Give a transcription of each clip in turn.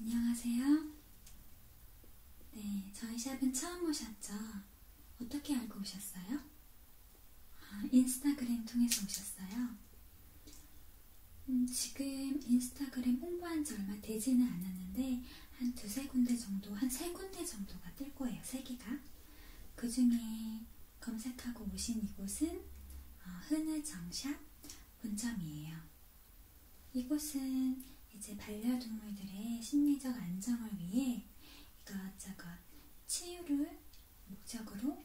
안녕하세요. 네, 저희 샵은 처음 오셨죠? 어떻게 알고 오셨어요? 아, 인스타그램 통해서 오셨어요? 음, 지금 인스타그램 홍보한 지 얼마 되지는 않았는데 한 두세 군데 정도, 한 세 군데 정도가 뜰 거예요, 세 개가. 그 중에 검색하고 오신 이곳은 흐느정샵 어, 본점이에요. 이곳은 이제 반려동물들의 심리적 안정을 위해 이것저것 치유를 목적으로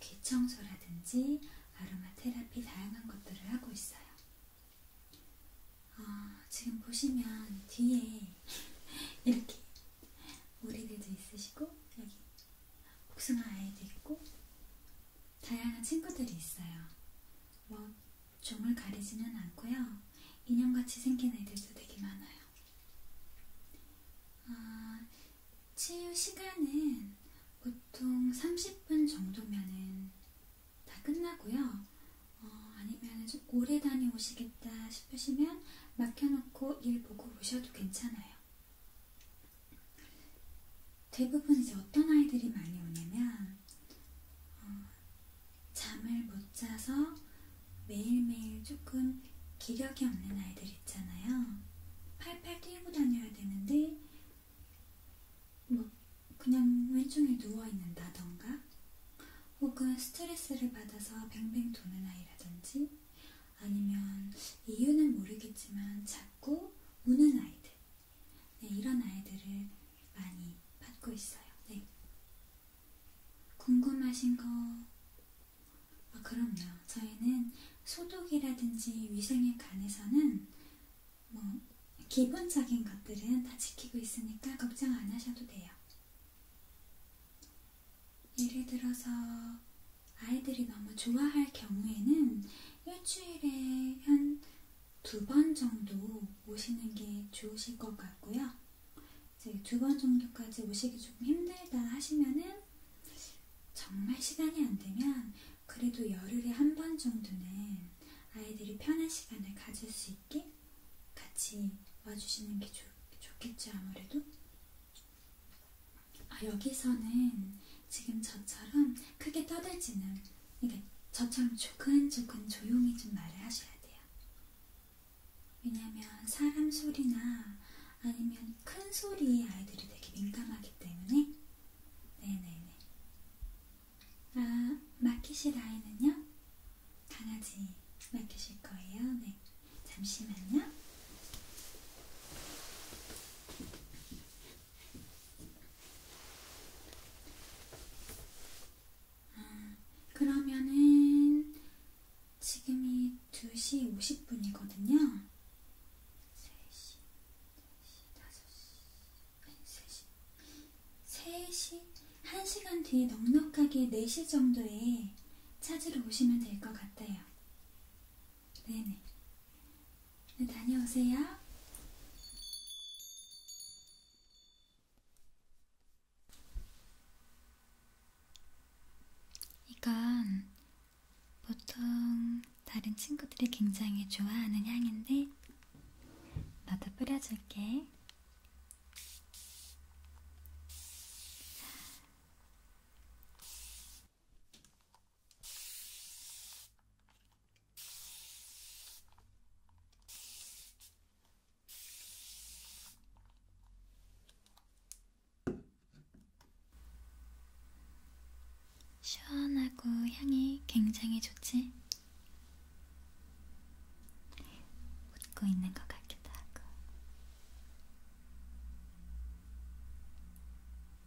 귀 청소라든지 아로마 테라피 다양한 것들을 하고 있어요. 어, 지금 보시면 뒤에 이렇게 오리들도 있으시고 여기 복숭아 아이도 있고 다양한 친구들이 있어요. 뭐 종을 가리지는 않고요. 인형같이 생긴 애들도 되게 많아요. 아, 치유 시간은 보통 30분 정도면은 다 끝나고요. 어, 아니면 좀 오래 다녀오시겠다 싶으시면 맡겨놓고 일 보고 오셔도 괜찮아요. 대부분 이제 어떤 아이들이 많이 오냐면 어, 잠을 못 자서 매일매일 조금 기력이 없는 아이들 있잖아요. 팔팔 뛰고 다녀야 되는데 뭐 그냥 왼쪽에 누워 있는다던가 혹은 스트레스를 받아서 뱅뱅 도는 아이라든지 아니면 이유는 모르겠지만 자꾸 우는 아이들. 네, 이런 아이들을 많이 받고 있어요. 네. 궁금하신 거? 아, 그럼요. 저희는 소독이라든지 위생에 관해서는 뭐 기본적인 것들은 다 지키고 있으니까 걱정 안 하셔도 돼요. 예를 들어서 아이들이 너무 좋아할 경우에는 일주일에 한 두 번 정도 오시는 게 좋으실 것 같고요. 이제 두 번 정도까지 오시기 조금 힘들다 하시면은 정말 시간이 안 되면 그래도 열흘에 한 번 정도는 아이들이 편한 시간을 가질 수 있게 같이 와주시는 게 좋, 좋겠죠, 아무래도. 아, 여기서는 지금 저처럼 크게 떠들지는, 이게 저처럼 조근조근 조용히 좀 말을 하셔야 돼요. 왜냐면 사람 소리나 아니면 큰 소리에 아이들이 되게 민감하기 때문에, 네네네. 아, 맡기실 아이는요? 강아지 맡기실 거예요. 네. 잠시만요. 음, 그러면은 지금이 2시 50분이거든요. 3시, 4시, 5시, 3시, 3시, 1시간 뒤에 넉넉하게 4시 정도에 찾으러 오시면 될 것 같아요. 네네. 네, 다녀오세요. 이건 보통 다른 친구들이 굉장히 좋아하는 향인데, 나도 뿌려줄게. 시원하고 향이 굉장히 좋지? 웃고 있는 것 같기도 하고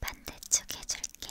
반대쪽 해줄게.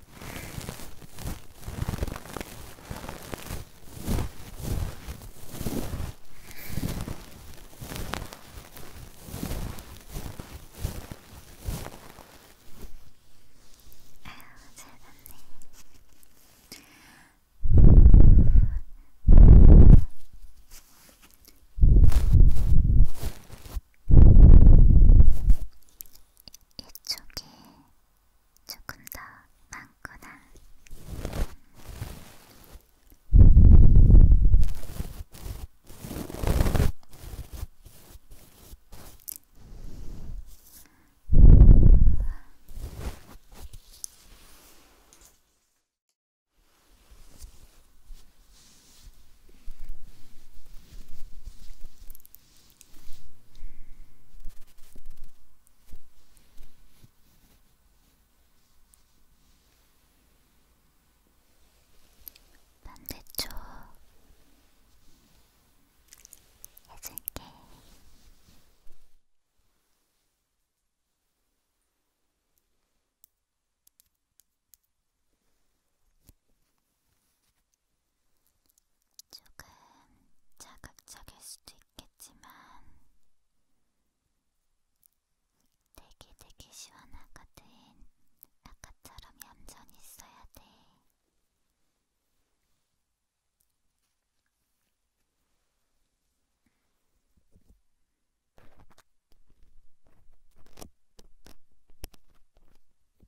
이쪽에 조금 더 많거나 반대쪽 해줄게. 조금 자극적일 수도 있겠지만 되게 되게 시원하거든. 아까처럼 얌전히 있어야 돼.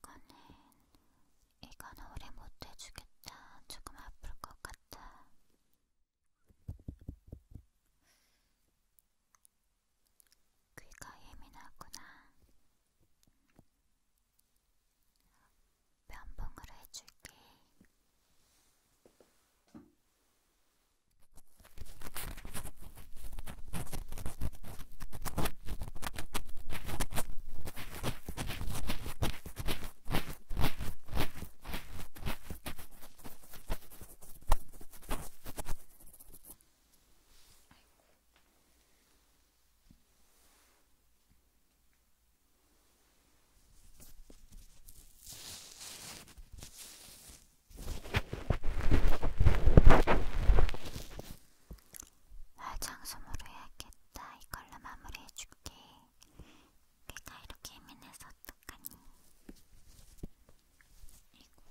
이거는 이건 오래 못 해주겠다. 조금 아플 것 같아. 귀가 예민하구나. 면봉으로 해줄게. 아이고, 화장솜으로 해야겠다. 이걸로 마무리해줄게. 내가 이렇게 예민해서 어떡하니? 이고.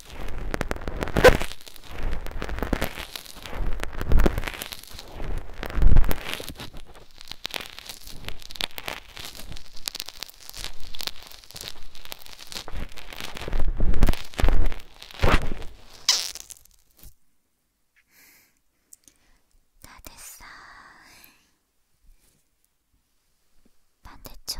다 됐어. 반대쪽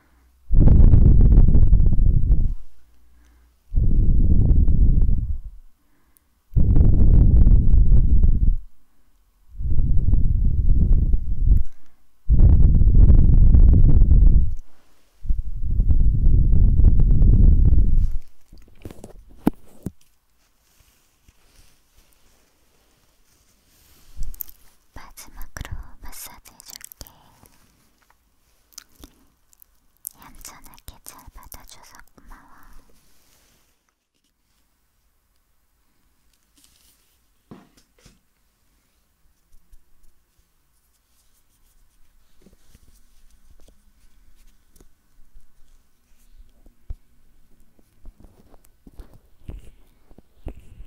마지막으로 마사지 해줄게. 얌전하게 잘 받아줘서 고마워.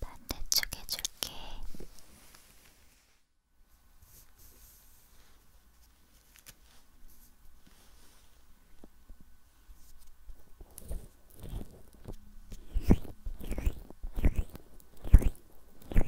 반대쪽 해줄게.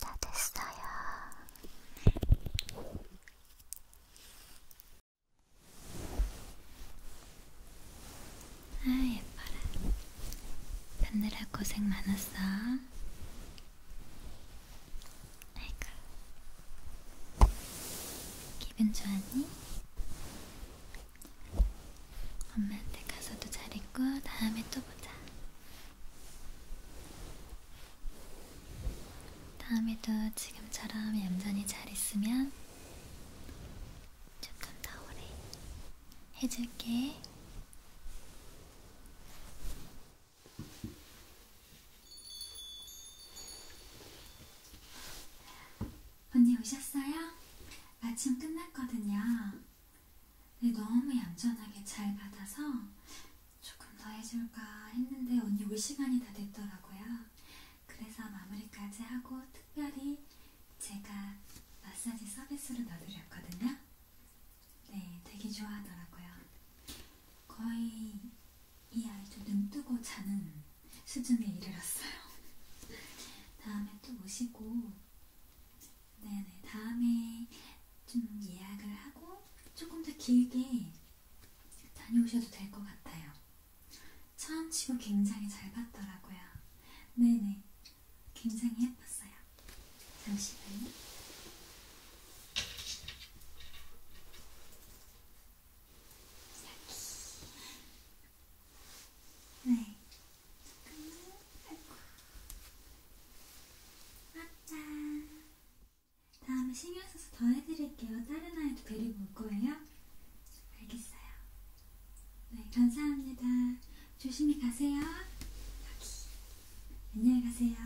다 됐어요. 아 예뻐라. 받느라 고생 많았어. 아이고. 기분 좋았니? 엄마한테 가서도 잘했고 다음에 또 보자. 다음에도 지금처럼 얌전히 잘 있으면 조금 더 오래 해줄게. 언니 오셨어요? 마침 끝났거든요. 네, 너무 얌전하게 잘 받아서 조금 더 해줄까 했는데 언니 올 시간이 다 됐더라고요. 그래서 마무리까지 하고 특별히 제가 마사지 서비스로 넣어드렸거든요. 네, 되게 좋아하더라고요. 거의 이 아이도 눈 뜨고 자는 수준에 이르렀어요. 다음에 또 오시고, 네네, 다음에 좀 예약을 하고, 조금 더 길게 다녀오셔도 될 것 같아요. 처음 치고 굉장히 잘 봤더라고요. 네네, 굉장히 예뻤어요. 잠시만요. 여기. 네. 잠깐만. 아이고. 맞다. 다음에 신경 써서 더 해드릴게요. 다른 아이도 데리고 올 거예요? 알겠어요. 네, 감사합니다. 조심히 가세요. 여기. 안녕히 가세요.